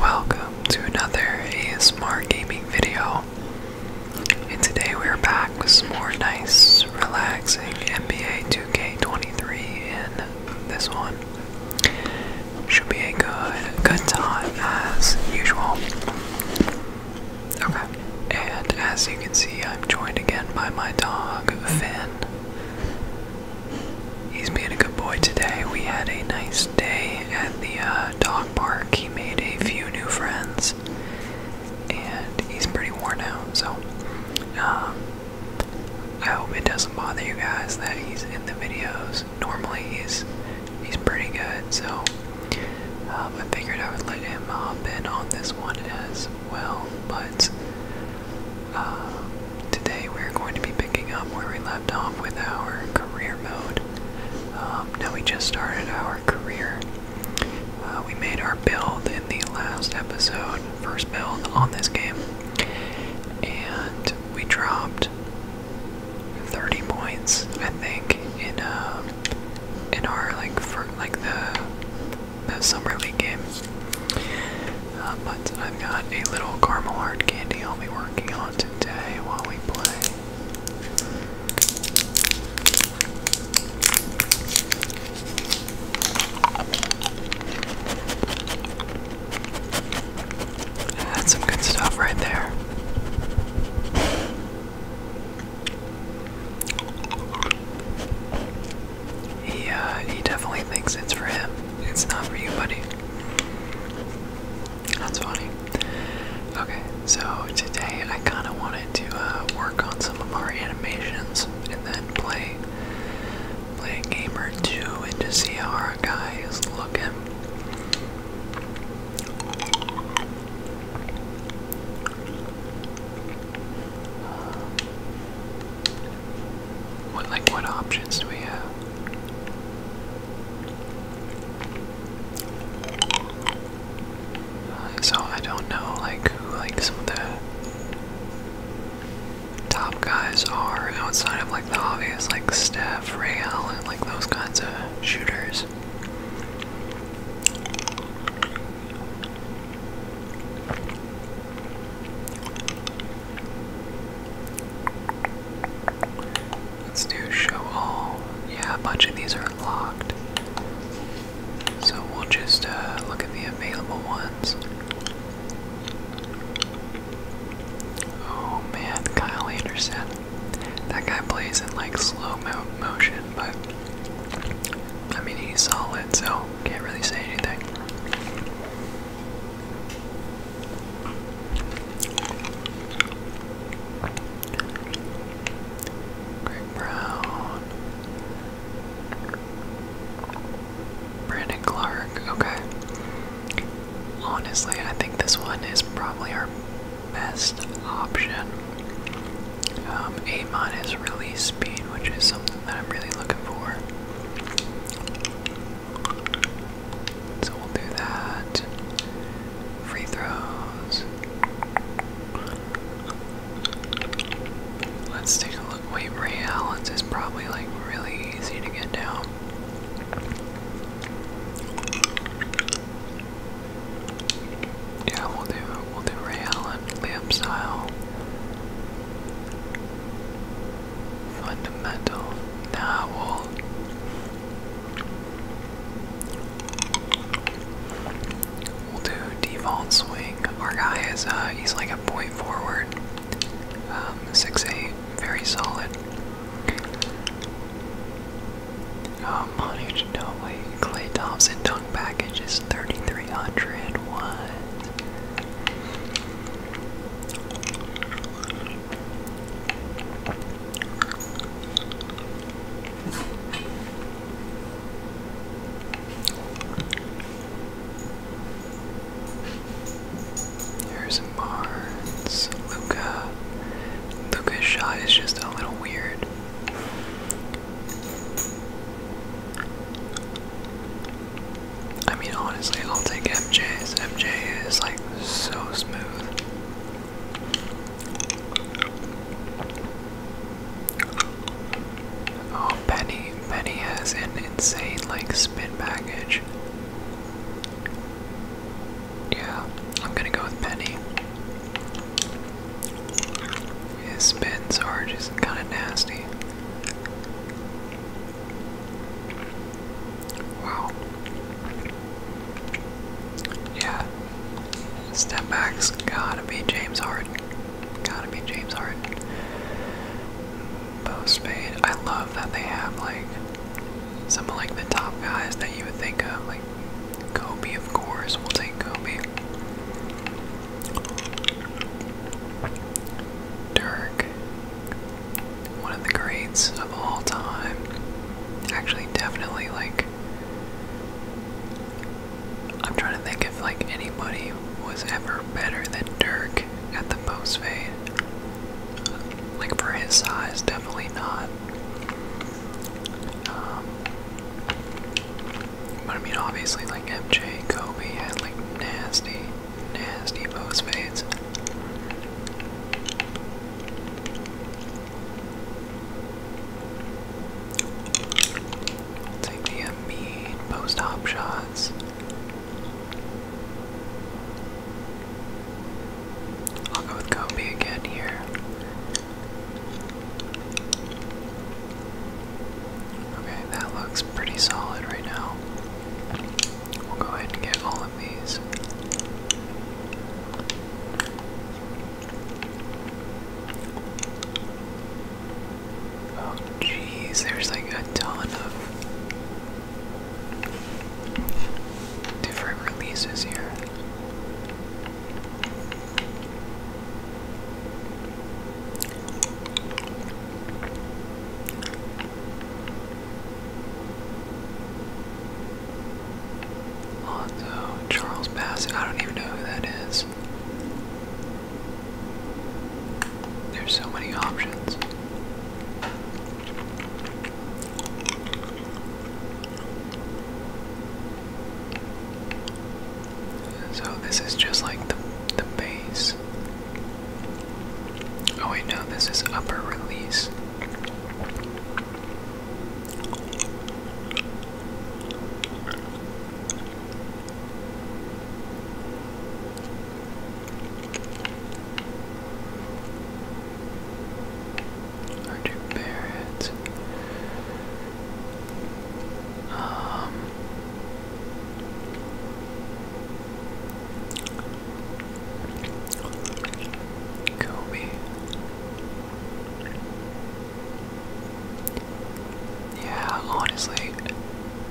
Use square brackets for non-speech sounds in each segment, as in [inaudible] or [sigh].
Welcome to another ASMR gaming video. And today we're back with some more nice, relaxing NBA 2K23 And this one. Should be a good good time as usual. Okay. And as you can see I'm joined again by my dog Finn. He's being a good boy today. We had a nice day at the uh, dog park. He made a few new friends, and he's pretty worn out. So, um, I hope it doesn't bother you guys that he's in the videos. Normally, he's he's pretty good. So, um, I figured I would let him hop in on this one as well. But um, today we're going to be picking up where we left off with our career mode. Um, now we just started our career. Uh, we made our build in the last episode, first build on this game, and we dropped 30 points, I think, in uh, in our like for like the the summer league game. Uh, but I've got a little caramel hard candy I'll be working on today while we play. That's some good stuff right there. He uh, he definitely thinks it's for him. It's not for you, buddy. That's funny. Okay, so today I kind of wanted to uh, work on some of our animations and then play play a two and just see how our guy is looking. what like what options do we have? so I don't know like who like some of the top guys are outside of like the obvious like Steph, Ray Allen, like those kinds of shooters. Let's do show all. Yeah, a bunch of these are locked. So we'll just uh, look at the available ones. Oh man, Kyle Anderson. That guy plays in like slow motion, but I mean he's solid, so can't really say anything. Greg Brown. Brandon Clark, okay. Honestly, I think this one is probably our best option. Um, A minus release speed, which is something that I'm really looking for. So we'll do that. Free throws. Let's take a look. Wait, Ray Allen's is probably like really easy to get down. Yeah, we'll do we'll do Ray Allen, layup style fundamental novel. We'll do Devon swing. Our guy is uh, he's like a point forward. Um, six eight, very solid. Um, Money Clay Thompson dunk package is thirty three hundred. Here's Barnes, Luca. Luca's shot is just a little weird. I mean, honestly, I'll take MJ's. MJ is like so smooth. Oh, Penny, Penny has an insane like spin package. Yeah, I'm gonna go with Penny. His spins are just kind of nasty. Wow. Yeah. Step back's gotta be James Hart. Gotta be James Hart. Bo Spade. I love that they have like some of like the top guys that you would think of, like Kobe of course, we'll take Kobe. Dirk one of the greats of all time. Actually, definitely like I'm trying to think if like anybody was ever better than Dirk at the post fade. Like for his size, definitely not. Um, but I mean, obviously, like MJ, Kobe and like nasty Nasty post fades. Take the uh, mean post hop shots. I'll go with Kobe again here. Okay, that looks pretty solid right now. We'll go ahead and get all of these. Oh, jeez, there's like a ton of different releases here. Lonzo, Charles Bassett. I don't even know who that is. There's so many options. So this is just like the the base. Oh wait, no, this is upper release. Archer Barrett. Um Kobe. Yeah, honestly,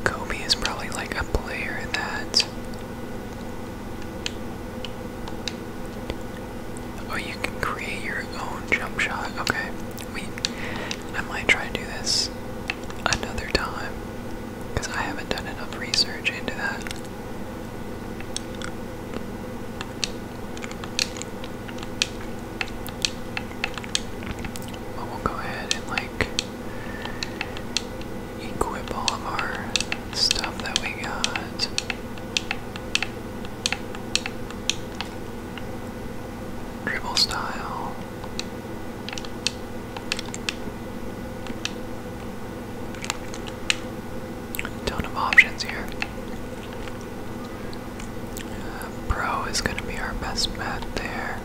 Kobe is probably like a player that. Oh, you can create your own jump shot. Okay, we. I might try to do this another time because I haven't done enough research into that we'll go ahead and like equip all of our stuff that we got. Dribble style. Ton of options here. Uh, pro is going to be our best bet there.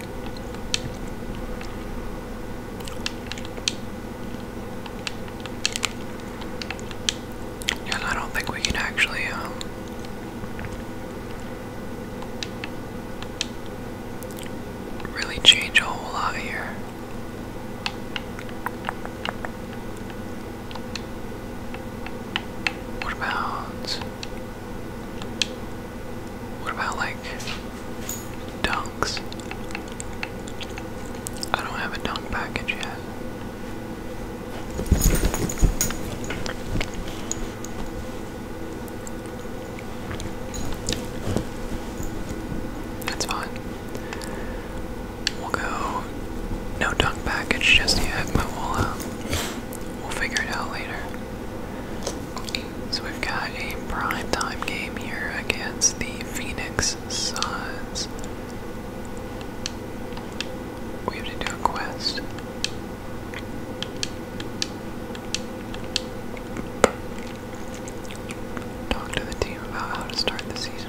And I don't think we can actually, um, really change a whole lot here. What about what about like dunks? I don't have a dunk package yet. That's fine. We'll go no dunk package just yet, but we'll uh, we'll figure it out later. So we've got a prime time game here against the Phoenix Suns. We have to do a quest. Talk to the team about how to start the season.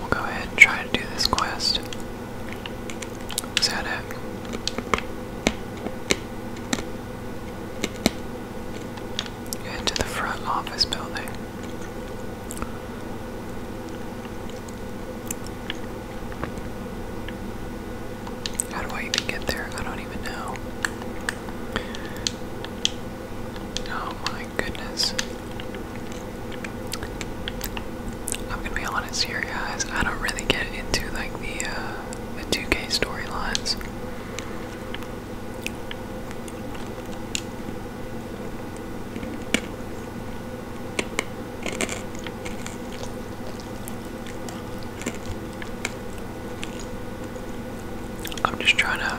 We'll go ahead and try to do this quest. Is it? Head to the front office building. How do I even get there? I don't even know. Oh my goodness. I'm gonna be honest here, guys. I don't really get into like the 2K uh, storylines. I'm just trying to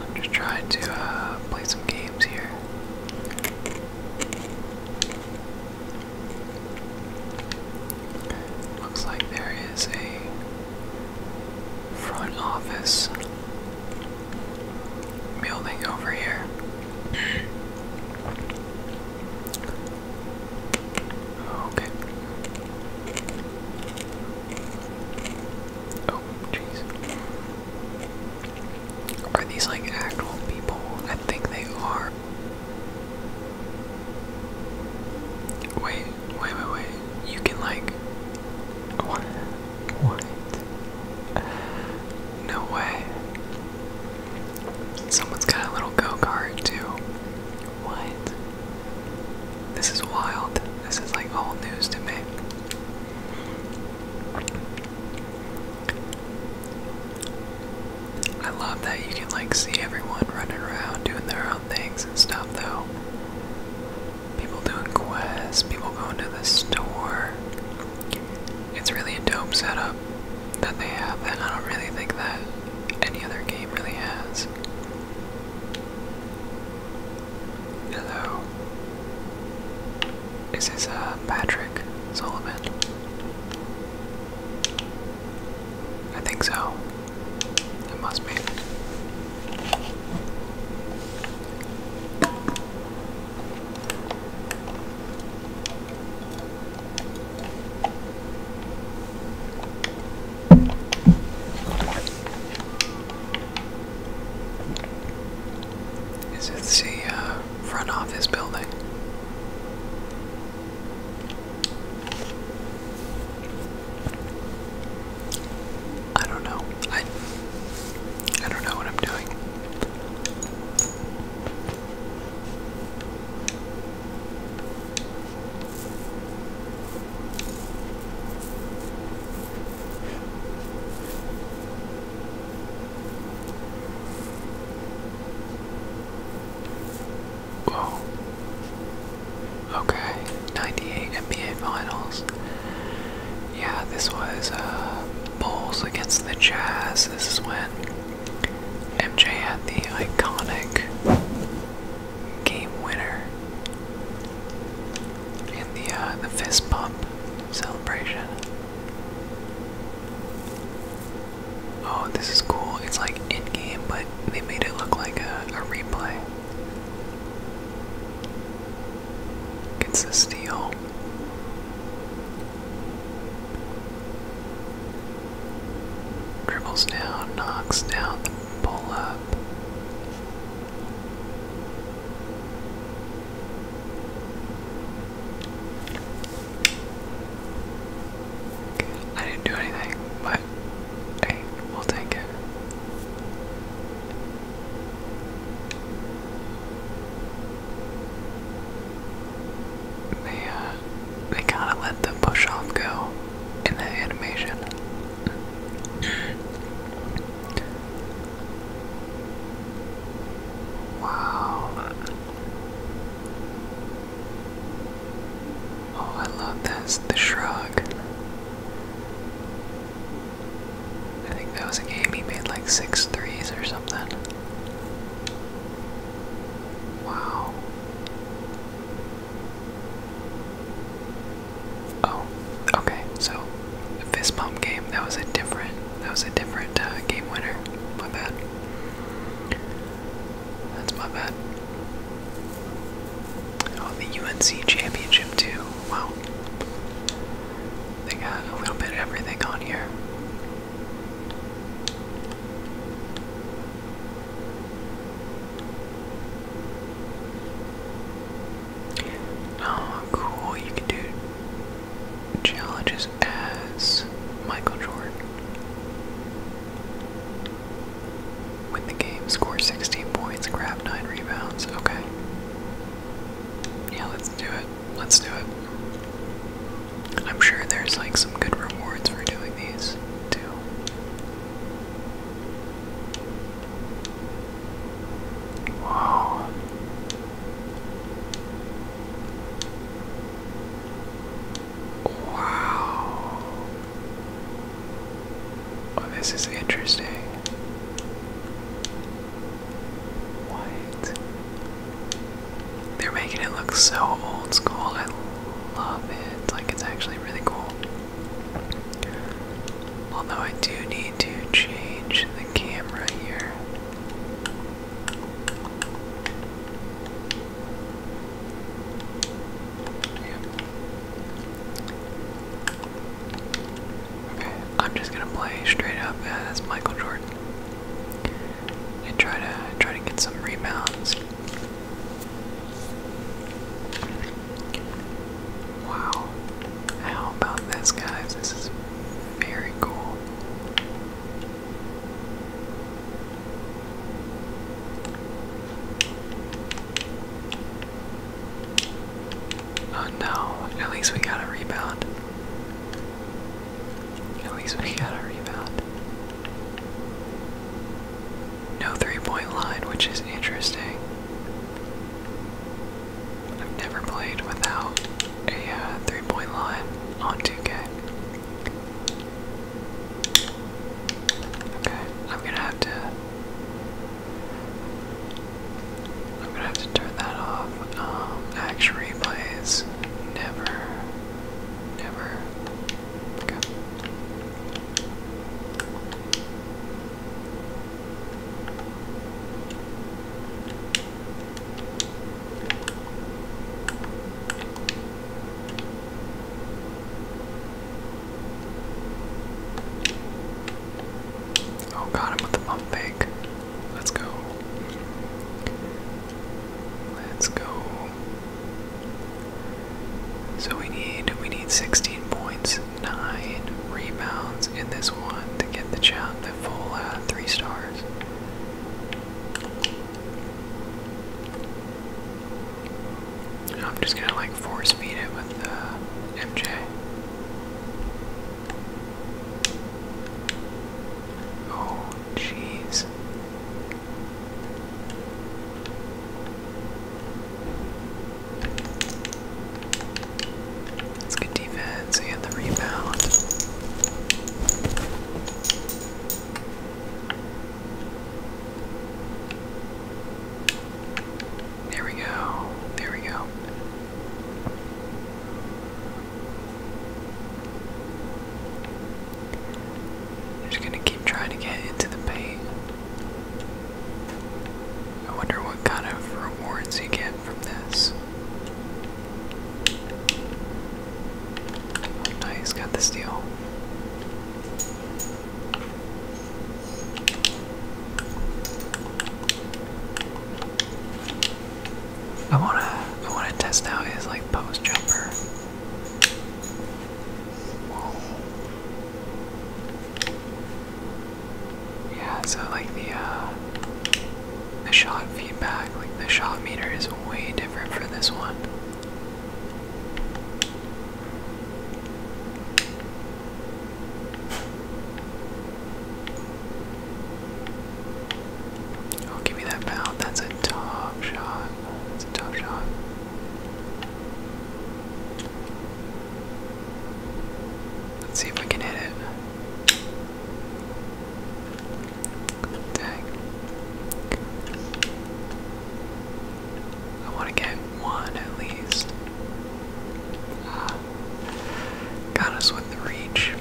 I'm just trying to uh, play some games here. Looks like there is a front office building over here. Okay. Oh, jeez. Are these like actual people? I think they are. Wait, wait, wait, wait. You can like. What? What? No way. Someone's got a little go kart too. What? This is wild. This is like all news to me. I love that you can like see everyone running around doing their own things and stuff though. People doing quests, people going to the store. It's really a dope setup that they have that I don't really think that any other game really has. Hello. This is uh, Patrick Solomon. I think so. It must be. Is it the uh, front office building? I don't know. I I don't know what I'm doing. Whoa. Okay, 98 NBA Finals. Yeah, this was uh, Bulls against the Jazz. This is when MJ had the iconic game winner in the uh, the fist pump celebration. Oh, this is cool. It's like in-game, but they made it look like a, replay. Gets the steal. Dribbles down, knocks down pull up. I didn't do anything, but hey, we'll take it. They uh, they kinda let the push go in the animation. Wow. Oh, I love this. The shrug. I think that was a game he made like six threes or something. Wow. Oh, okay. So fist pump game that was a different that was a different uh, game winner. My bad. That's my bad. Oh, the UNC championship too. Wow. They got a little bit everything on here. Oh, cool. You can do challenges as Michael Jordan. Win the game, score 16 points, grab 9 rebounds. Okay. Yeah, let's do it. Let's do it. I'm sure there's like some good rewards for doing these too. Wow. Wow. Oh, this is interesting. What? They're making it look so old school. I love it. Like, it's actually really cool. Although I do need to change the camera here. Okay, I'm just gonna play straight up as Michael Jordan and try to try to get some rebounds. Wow. How about this, guys? This is very cool. Oh no, at least we got a rebound. At least we got a rebound. No three point line, which is interesting. I've never played without a uh, three point line on 2K. Okay, I'm gonna have to. I'm gonna have to turn that off. Um, action replays, never, never. Oh, got him with the pump Let's go. Let's go. So we need we need 16 points nine rebounds in this one to get the job the full uh, three stars. I'm just gonna like force feed it with uh, MJ. Oh, jeez. That's good defense and the rebound. There we go. There we go. just gonna keep trying to get into the paint. I wonder what kind of rewards you get Oh, nice, got the steel. I wanna, I wanna test out his like post jumper. Yeah, so like the uh, the shot feedback, like the shot meter is way different for this one. Oh, give me that bound. That's a top shot. That's a top shot. Let's see if we can hit it. Dang. I want to get one at least. Ah. Got us with the reach.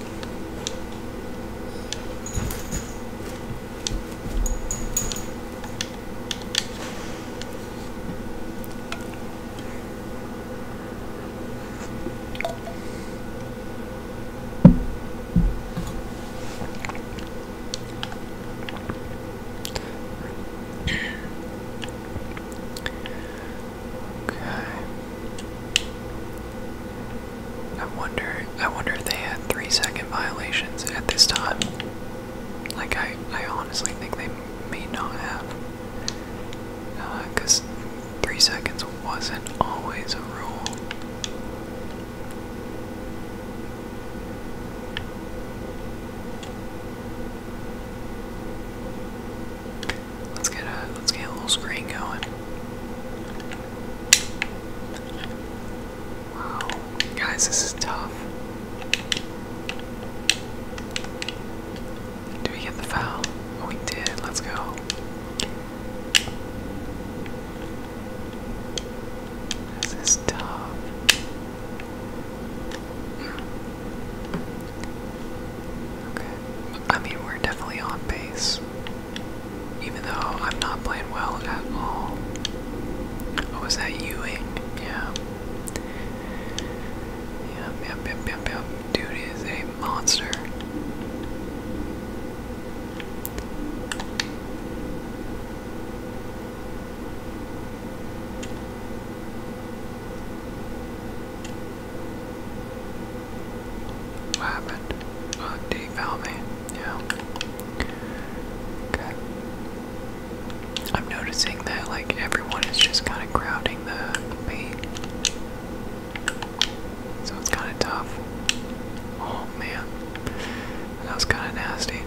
I wonder I wonder if they had three second violations at this time. Like I I honestly think they may not have. Uh, cause Three seconds wasn't always a rule. Let's get a let's get a little screen going. Wow, guys, this is tough. Did we get the foul? Oh, we did. Let's go. This is tough. Okay. I mean, we're definitely on base. Even though I'm not playing well at all. Oh, was that Ewing? Yeah. Yep, yep, yep, yep, yep. Dude is a monster. What happened? Oh, D found me. Yeah. Okay. I'm noticing that like everyone is just kind of crowding the so it's kind of tough. Oh man, that was kind of nasty.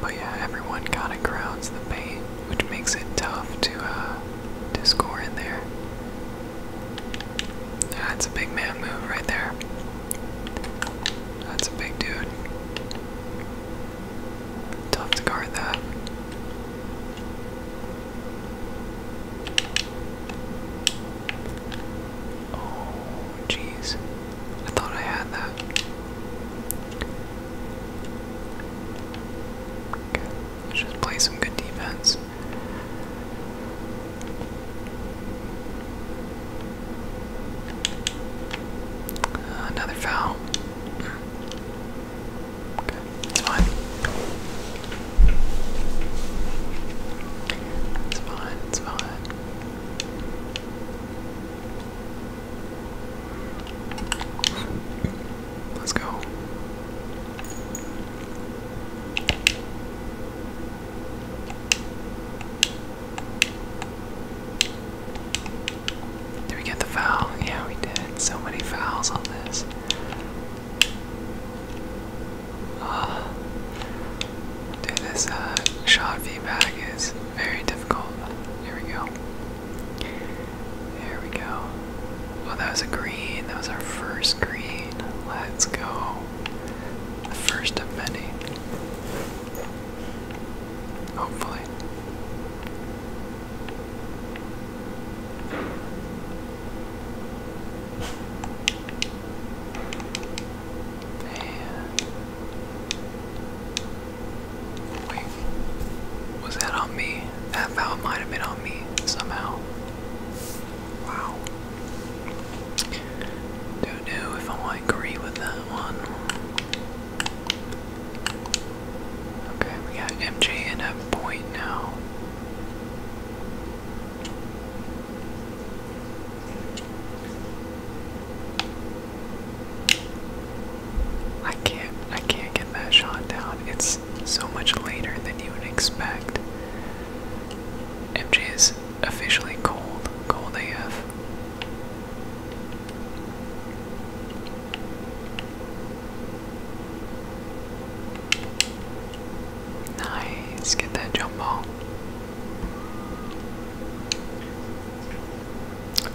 But yeah, everyone kind of crowds the paint, which makes it tough to uh, to score in there. That's a big man move right there. That's a big dude. Tough to guard that. Oh, jeez. I thought I had that. Okay, just play some good defense. another foul. Okay, it's fine. It's fine, it's fine. Let's go. Did we get the foul? Yeah, we did. So many fouls on this. Uh, dude, this uh, shot feedback is very difficult. Here we go. There we go. Well, that was a green. That was our first green. Let's go. first of many. Hopefully. And wait, was that on me? That foul might have been on me somehow. Wow. Don't know if I agree with that one. Okay, we got MJ in a point now. I can't I can't get that shot down. It's so much later than you would expect. MJ is officially cold, cold AF. Nice, get that jump ball.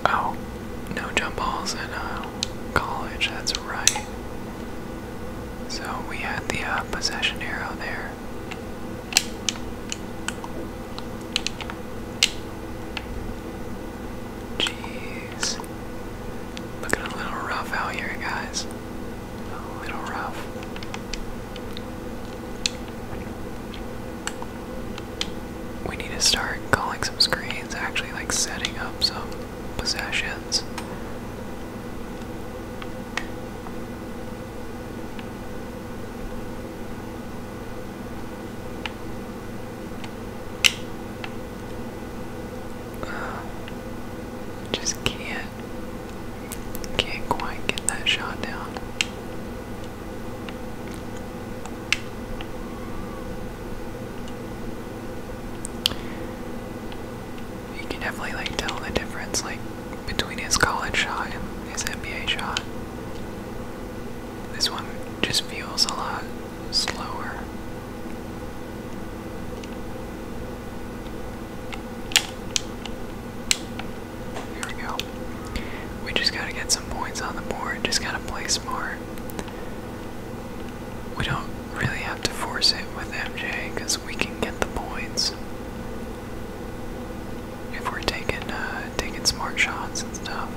Oh, no jump balls in uh, college, that's right. So we had the uh, possession arrow there. Jeez. Looking a little rough out here, guys. A little rough. We need to start calling some screens, actually, like setting up some possessions. [sighs] just can't can't quite get that shot down. You can definitely like tell the difference like between his college shot and his NBA shot. This one just feels a lot slower. There we go. We just gotta get some points on the board, just gotta play smart. We don't really have to force it with MJ because we can get the points if we're taking uh, taking smart shots and stuff.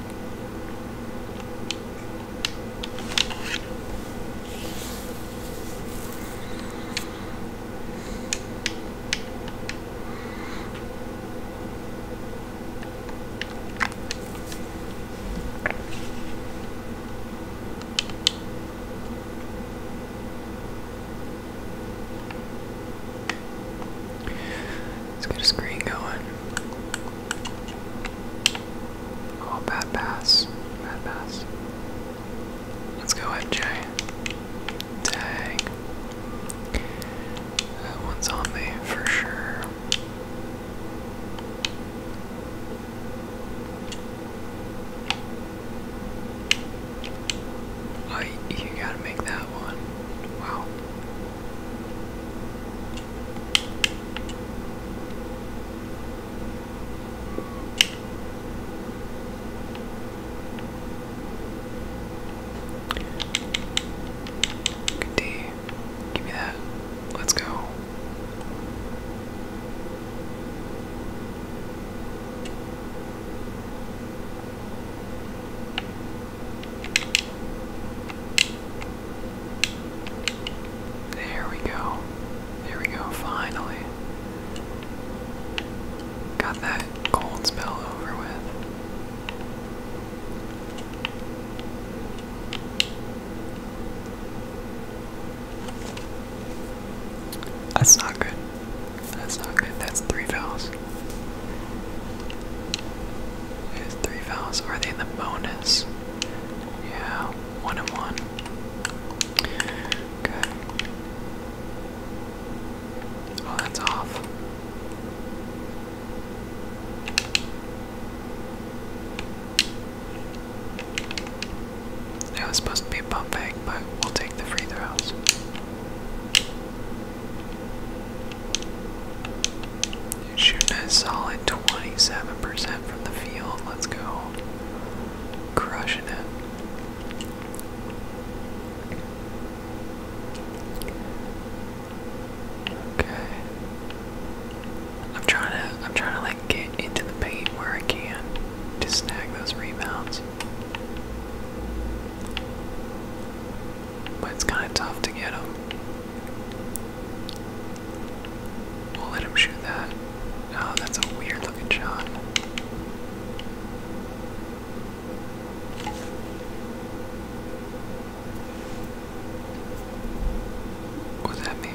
Let's get a screen going. Oh, bad pass. Bad pass. Let's go, MJ. Dang. That one's on me for sure. you gotta make that one. Wow. Good D. Give me that. Let's go. There we go. There we go, finally. Got that cold spell over with. That's not good. That's not good. That's three vowels. is three fouls. Are they in the bonus? Yeah, one and one. Okay. Oh, that's off. That was supposed to be a bump back, but we'll take the free throws. He's shooting a solid 27% from the field. Let's go. Crushing it. Okay. I'm trying to I'm trying to like get into the paint where I can to snag those rebounds. But it's kind of tough to get them. We'll let him shoot that. Oh, that's a weird looking shot. Was that me?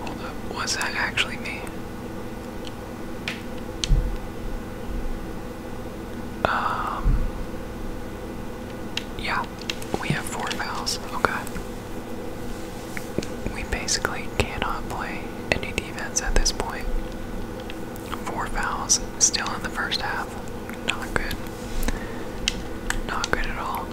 Hold up. Was that actually mean? Um. Yeah. We have four fouls. Okay. We basically cannot play any defense at this point. Four fouls still in the first half. Not good. Not good at all.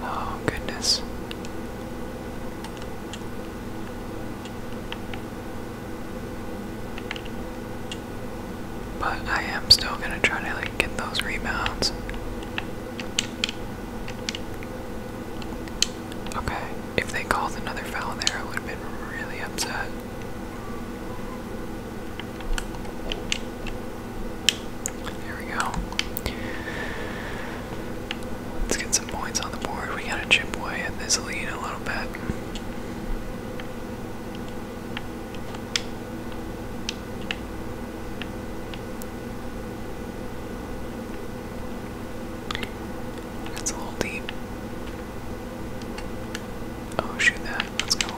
Oh, goodness. But I am still gonna try to like get those rebounds. Okay, if they called another foul there, I would have been really upset. There we go. Let's get some points on the board. We gotta chip away at this lead a little bit. That's a little deep. Oh, shoot that. Let's go.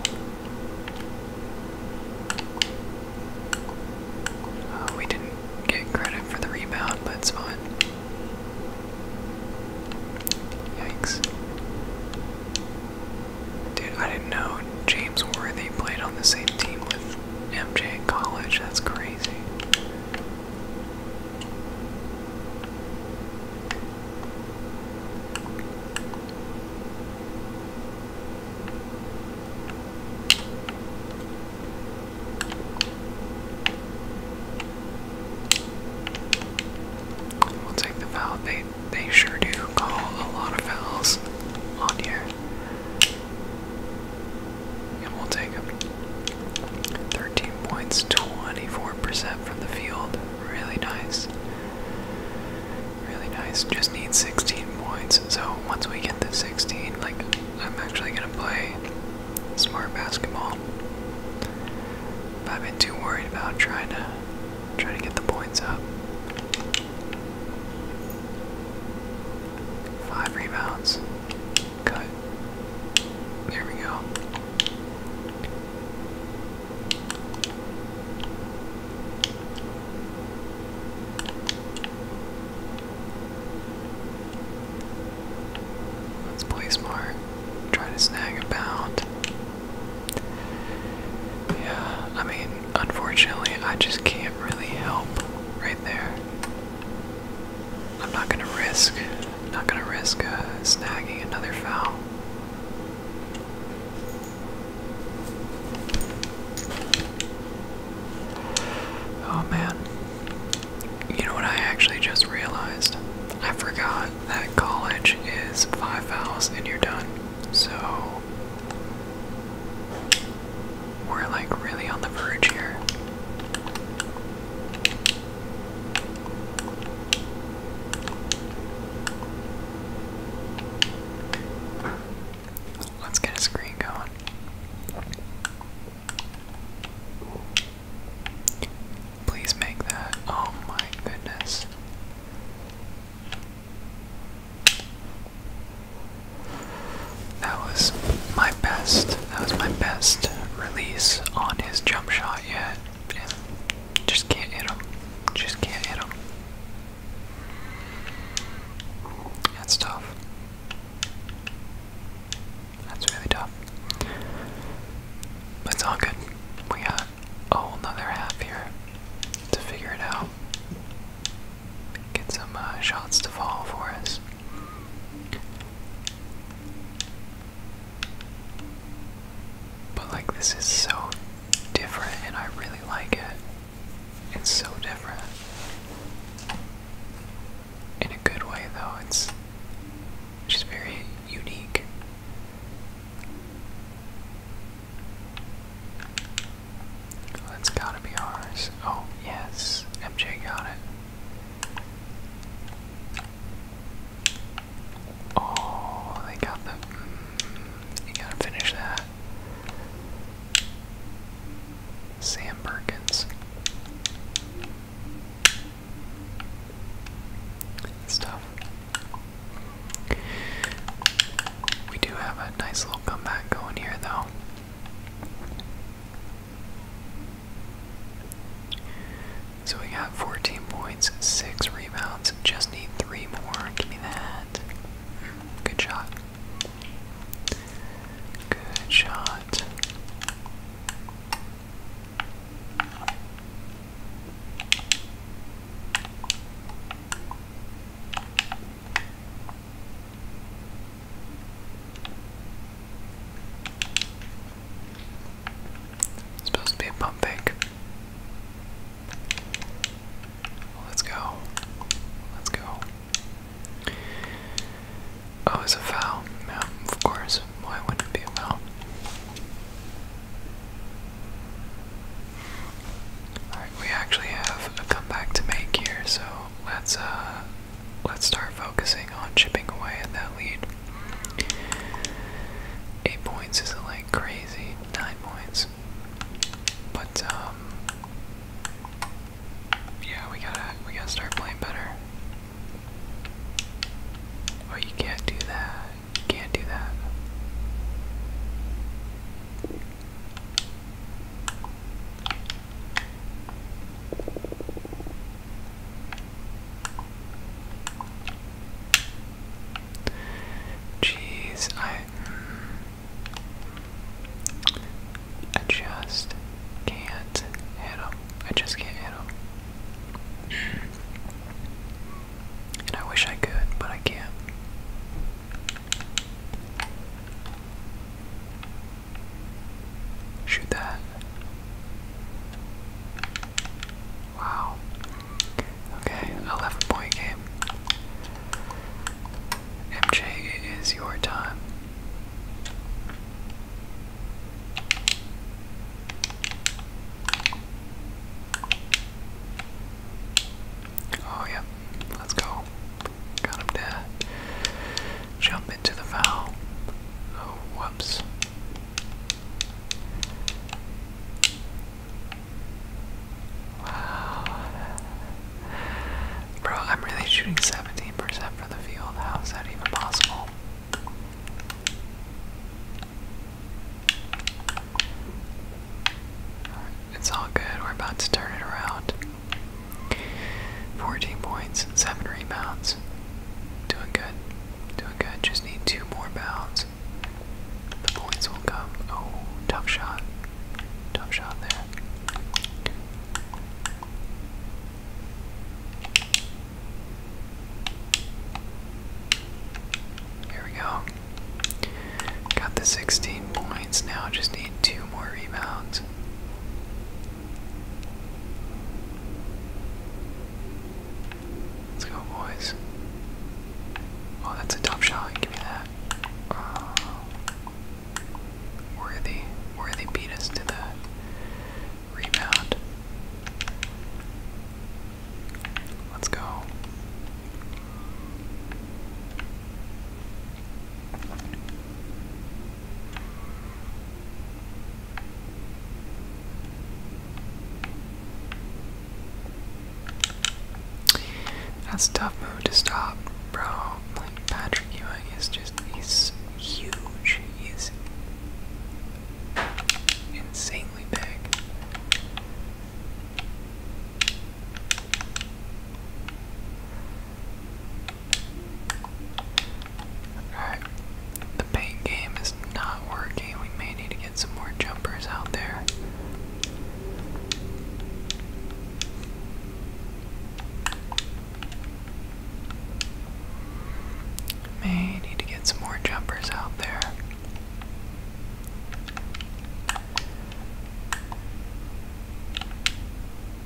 Uh, we didn't get credit for the rebound, but it's fine. Yikes. Dude, I didn't know James Worthy played on the same team with MJ in college. That's crazy. We'll take the foul. They they sure do call a lot of fouls on here. And we'll take them. 13 points, 24% from the field. Really nice. Really nice. Just need 16 points. So once we get to 16, like I'm actually gonna play smart basketball. I've been too worried about trying to trying to get the points up. Five rebounds. Cut. There we go. Let's play smart. Try to snag a pound. Yeah, I mean, unfortunately, I just can't really help right there. I'm not gonna risk, not gonna risk uh, snagging another foul. Oh man, you know what I actually just realized? I forgot that college is five fouls and you're done. So we're like really on the verge here. Let's get a screen going. Please make that. Oh my goodness. That was my best. That was my best release on his jump shot yet. And just can't hit him. Just can't hit him. That's tough. That's really tough. But it's all good. We got a whole nother half here to figure it out. Get some uh, shots to fall for us. But like this is so different and I really like it. It's so different in a good way though. It's just very unique. that's gotta be ours. Oh, yes, MJ got it. Oh, they got the. Mm, you gotta finish that. Sam Perkins. It's We do have a nice little comeback going here, though. So we got 14 points, 6 rebounds, just need 3 more. Give me that. Good shot. Good shot. supposed to be a pump fake. Let's go. Let's go. Oh, it's a foul. Yeah, of course. Why wouldn't it be a foul? Alright, we actually have a comeback to make here, so let's uh let's start focusing on chipping away at that lead. Eight points isn't like crazy, nine points. But um yeah, we gotta we gotta start playing better. Oh, you can't do that. can't do that. Jeez, I mm, adjust can't hit I just can't hit him. And I wish I could, but I can't. Shoot that. Wow. Okay, 11 point game. MJ, it is your time. Oh, yeah. Let's go. Got him to jump into the foul. Oh, whoops. Wow. Bro, I'm really shooting 70 percent for the field. How is that even possible? it's all good. We're about to turn it around. 14 points, 7 rebounds. Doing good. Doing good. Just need two more bounds. The points will come. Oh, tough shot. Tough shot there. Here we go. Got the 16 points. Now just need two more rebounds. Let's go, boys. Oh, that's a tough shot. Give me that. Worthy. Worthy beat us to the rebound. Let's go. That's tough move to stop, bro. Like Patrick Ewing is just he's huge. He is insanely big. Alright, the paint game is not working. We may need to get some more jumpers out there. May need to get some more jumpers out there.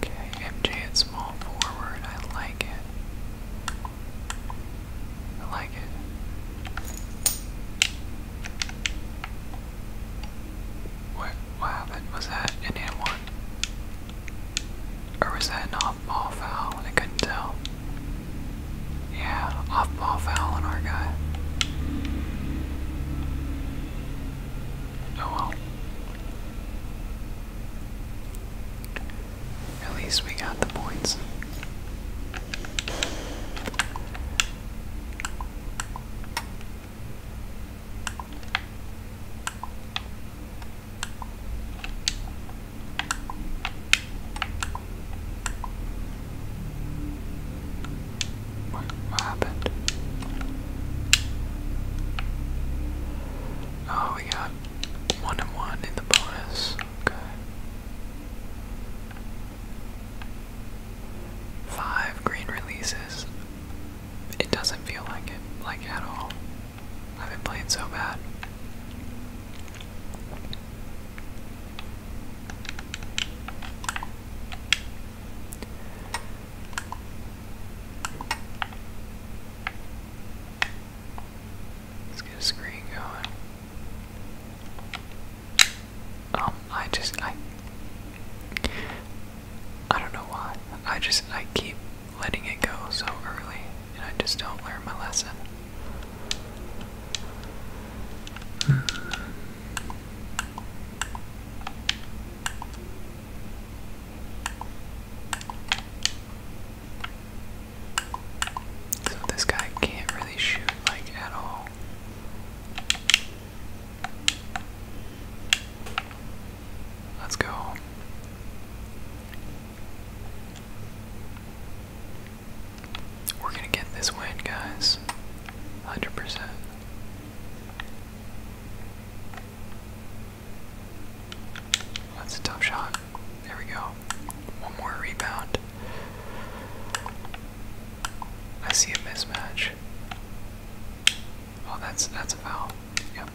Okay, MJ at small forward. I like it. I like it. What, what happened? Was that an and one? Or was that an off-ball foul? I couldn't tell. Yeah, off-ball foul on our guy. Oh well. At least we got the points. What, happened? Oh, we got one and one in the bonus. Okay. Five green releases. It doesn't feel like it, like at all. I've been playing so bad. Let's get a screen going. Um, I just I I don't know why. I just I keep letting it go so early, and I just don't learn my lesson. So this guy can't really shoot like at all. Let's go. We're gonna get this win, guys. 100%. That's a tough shot. There we go. One more rebound. I see a mismatch. Oh, that's that's a foul. Yep.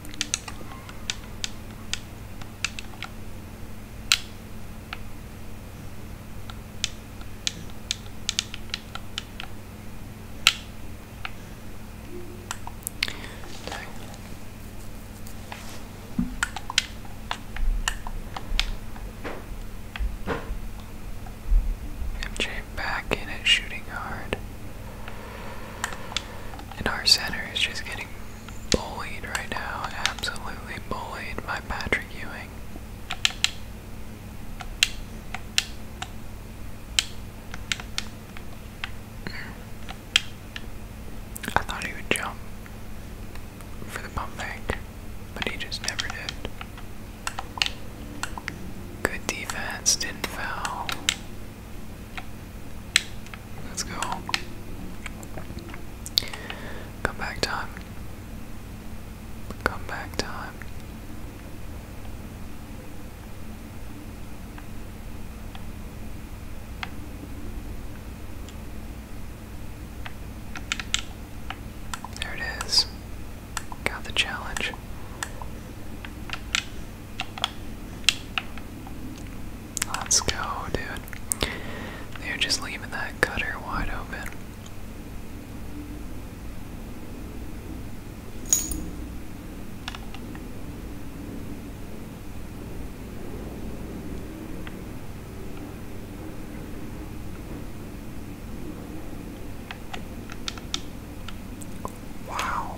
MJ back in it, shooting hard. And our center is just getting bullied right now, absolutely bullied by Patrick Ewing. I thought he would jump for the pump fake, but he just never did. Good defense, didn't foul. Let's go. Come time. Come time. There it is. Got the challenge. Let's go, dude. They're just leaving that cutter wide open. Wow.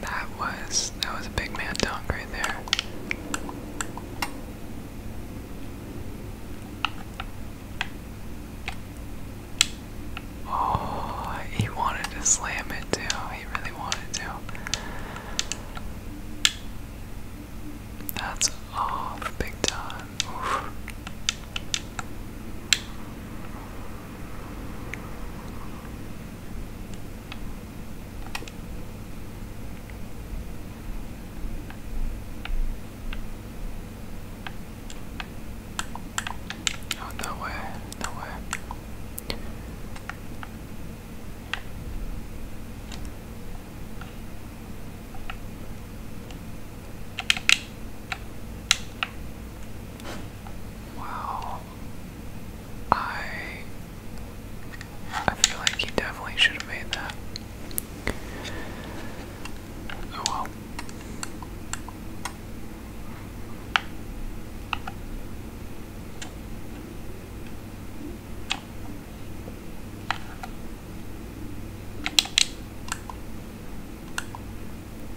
That was that was a big man dunk right there. Oh, he wanted to slam it too. He really wanted to. That's off big time. Oh, no way, no way. Wow, I I feel like he definitely should have made that. Oh well.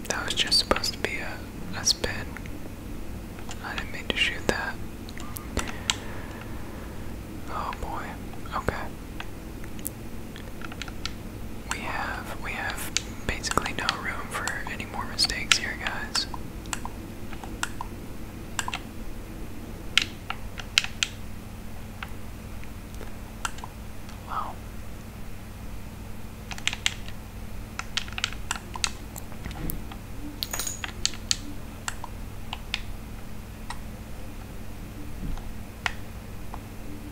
That was just supposed to be a, a spin. I didn't mean to shoot that. Oh boy. Okay. We have we have basically no room for any more mistakes here, guys. Wow.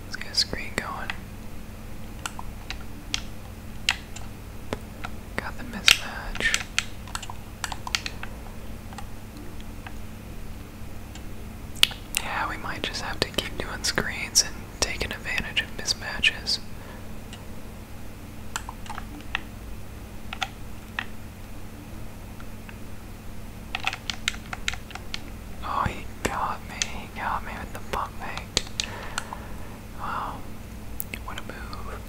Let's get a screen going. Got the mismatch. Yeah, we might just have to keep doing screens and taking advantage of mismatches. Oh, he got me. He got me with the pump fake. Wow. What a move.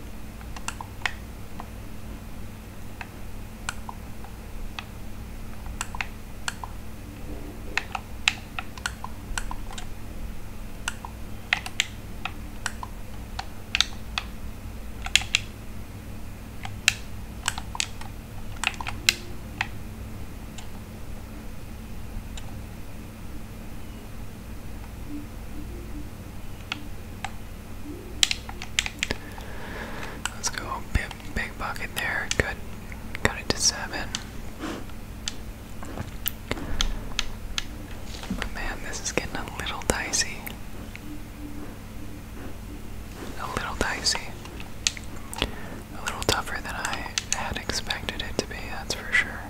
Let's go big, big bucket there. Good. Cut it to seven. But oh, man, this is getting a little dicey. A little dicey. A little tougher than I had expected it to be, that's for sure.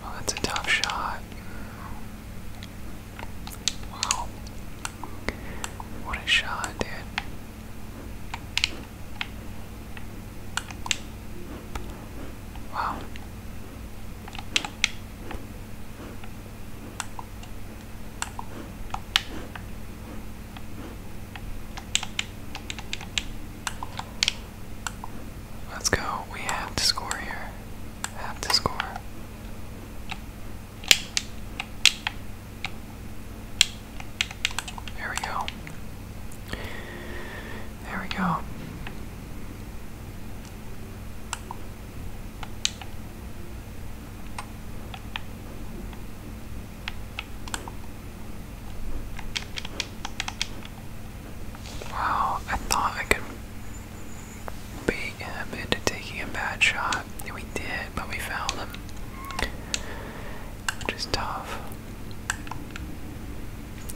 Well, oh, that's a tough shot. Mm. Wow. What a shot, dude. Wow. Let's go. We have to score here. Have to score. There we go. There we go. Wow, I thought I could bait him into taking a bad shot. We did, but we found him which is tough.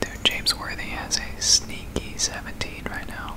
Dude, James Worthy has a sneaky 17 right now.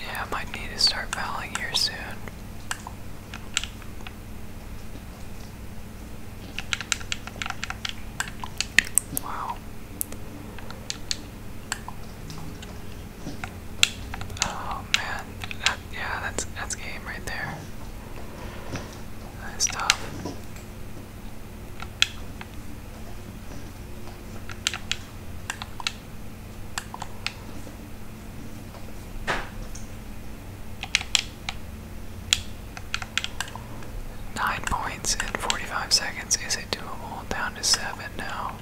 Yeah, I might need to start fouling here soon. Wow. Oh man, yeah, that's that's game right there. That's tough. Nine points in 45 seconds. Is it doable? Down to seven now.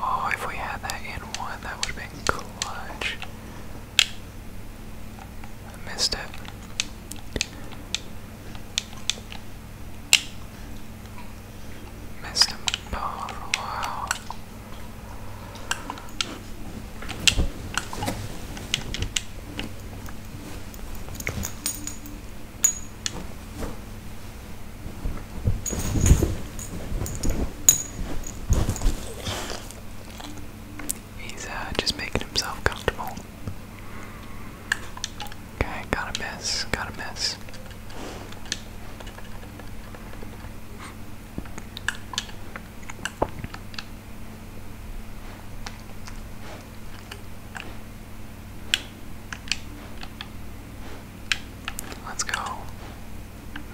Oh, if we had that in one, that would have been clutch. missed it. Missed him oh, for He's uh, just making himself comfortable. Okay, gotta miss, gotta miss. Let's go.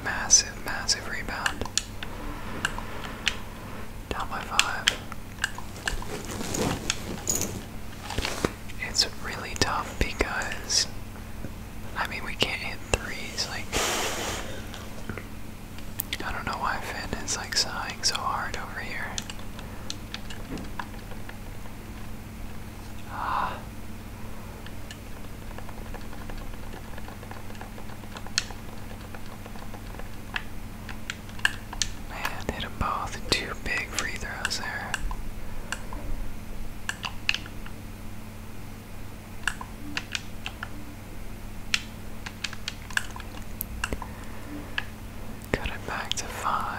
Massive, massive rebound. Down by five. It's really tough because, I mean, we can't hit threes. Like, I don't know why Finn is like sighing so hard over here. Ah, Man, hit both. Two big free throws there. Cut it back to five.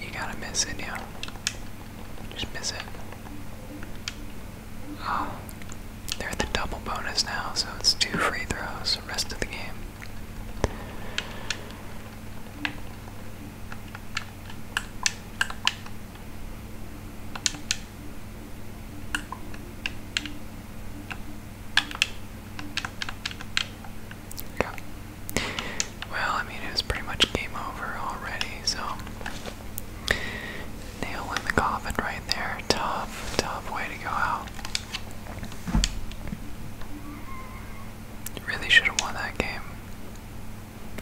You gotta miss it, yeah. Just miss it. Oh, they the double bonus now, so it's two free throws the rest of the game. Well, I mean, it was pretty much game over already, so. Nail in the coffin right there. Tough, tough way to go out. Really should have won that game.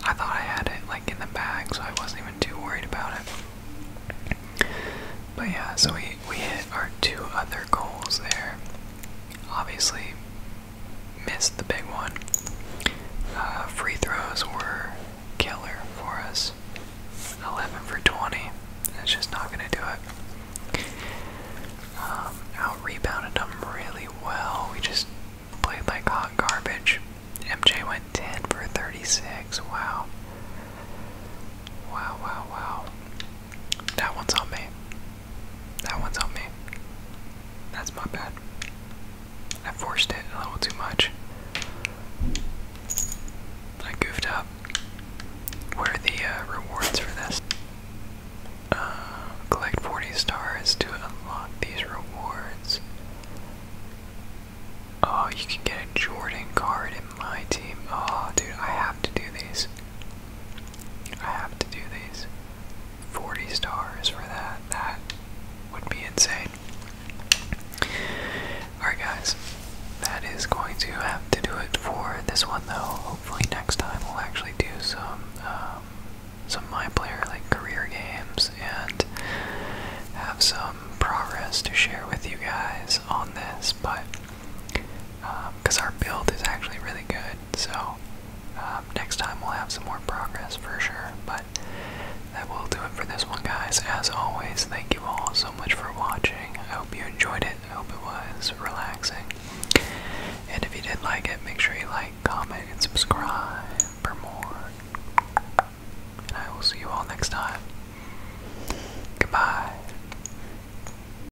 I thought I had it like in the bag, so I wasn't even too worried about it. But yeah, so we we hit our two other goals there obviously missed the big one. Uh, free throws were killer for us. 11 for 20. That's just not going to do it. Um, out rebounded them really well. We just played like hot garbage. MJ went 10 for 36. Wow. Wow, wow, wow. That one's on me. That one's on me. That's my bad. I forced it a little too much. I goofed up. Where are the uh, rewards for this? Uh, collect 40 stars to unlock these rewards. Oh, you can get a Jordan card in my team. Oh, dude, I have to do these. I have to do these. 40 stars for that. That would be insane. Alright, guys. That is going to have to do it for this one, though. Hopefully, next time we'll actually do some um, some my player like career games and have some progress to share with you guys on this. But because um, our build is actually really good. So um, next time we'll have some more progress for sure. But that will do it for this one, guys. As always, thank you all so much for watching. I hope you enjoyed it. I hope it was relaxing. And if you did like it, make sure you like, comment, and subscribe for more. And I will see you all next time. Goodbye.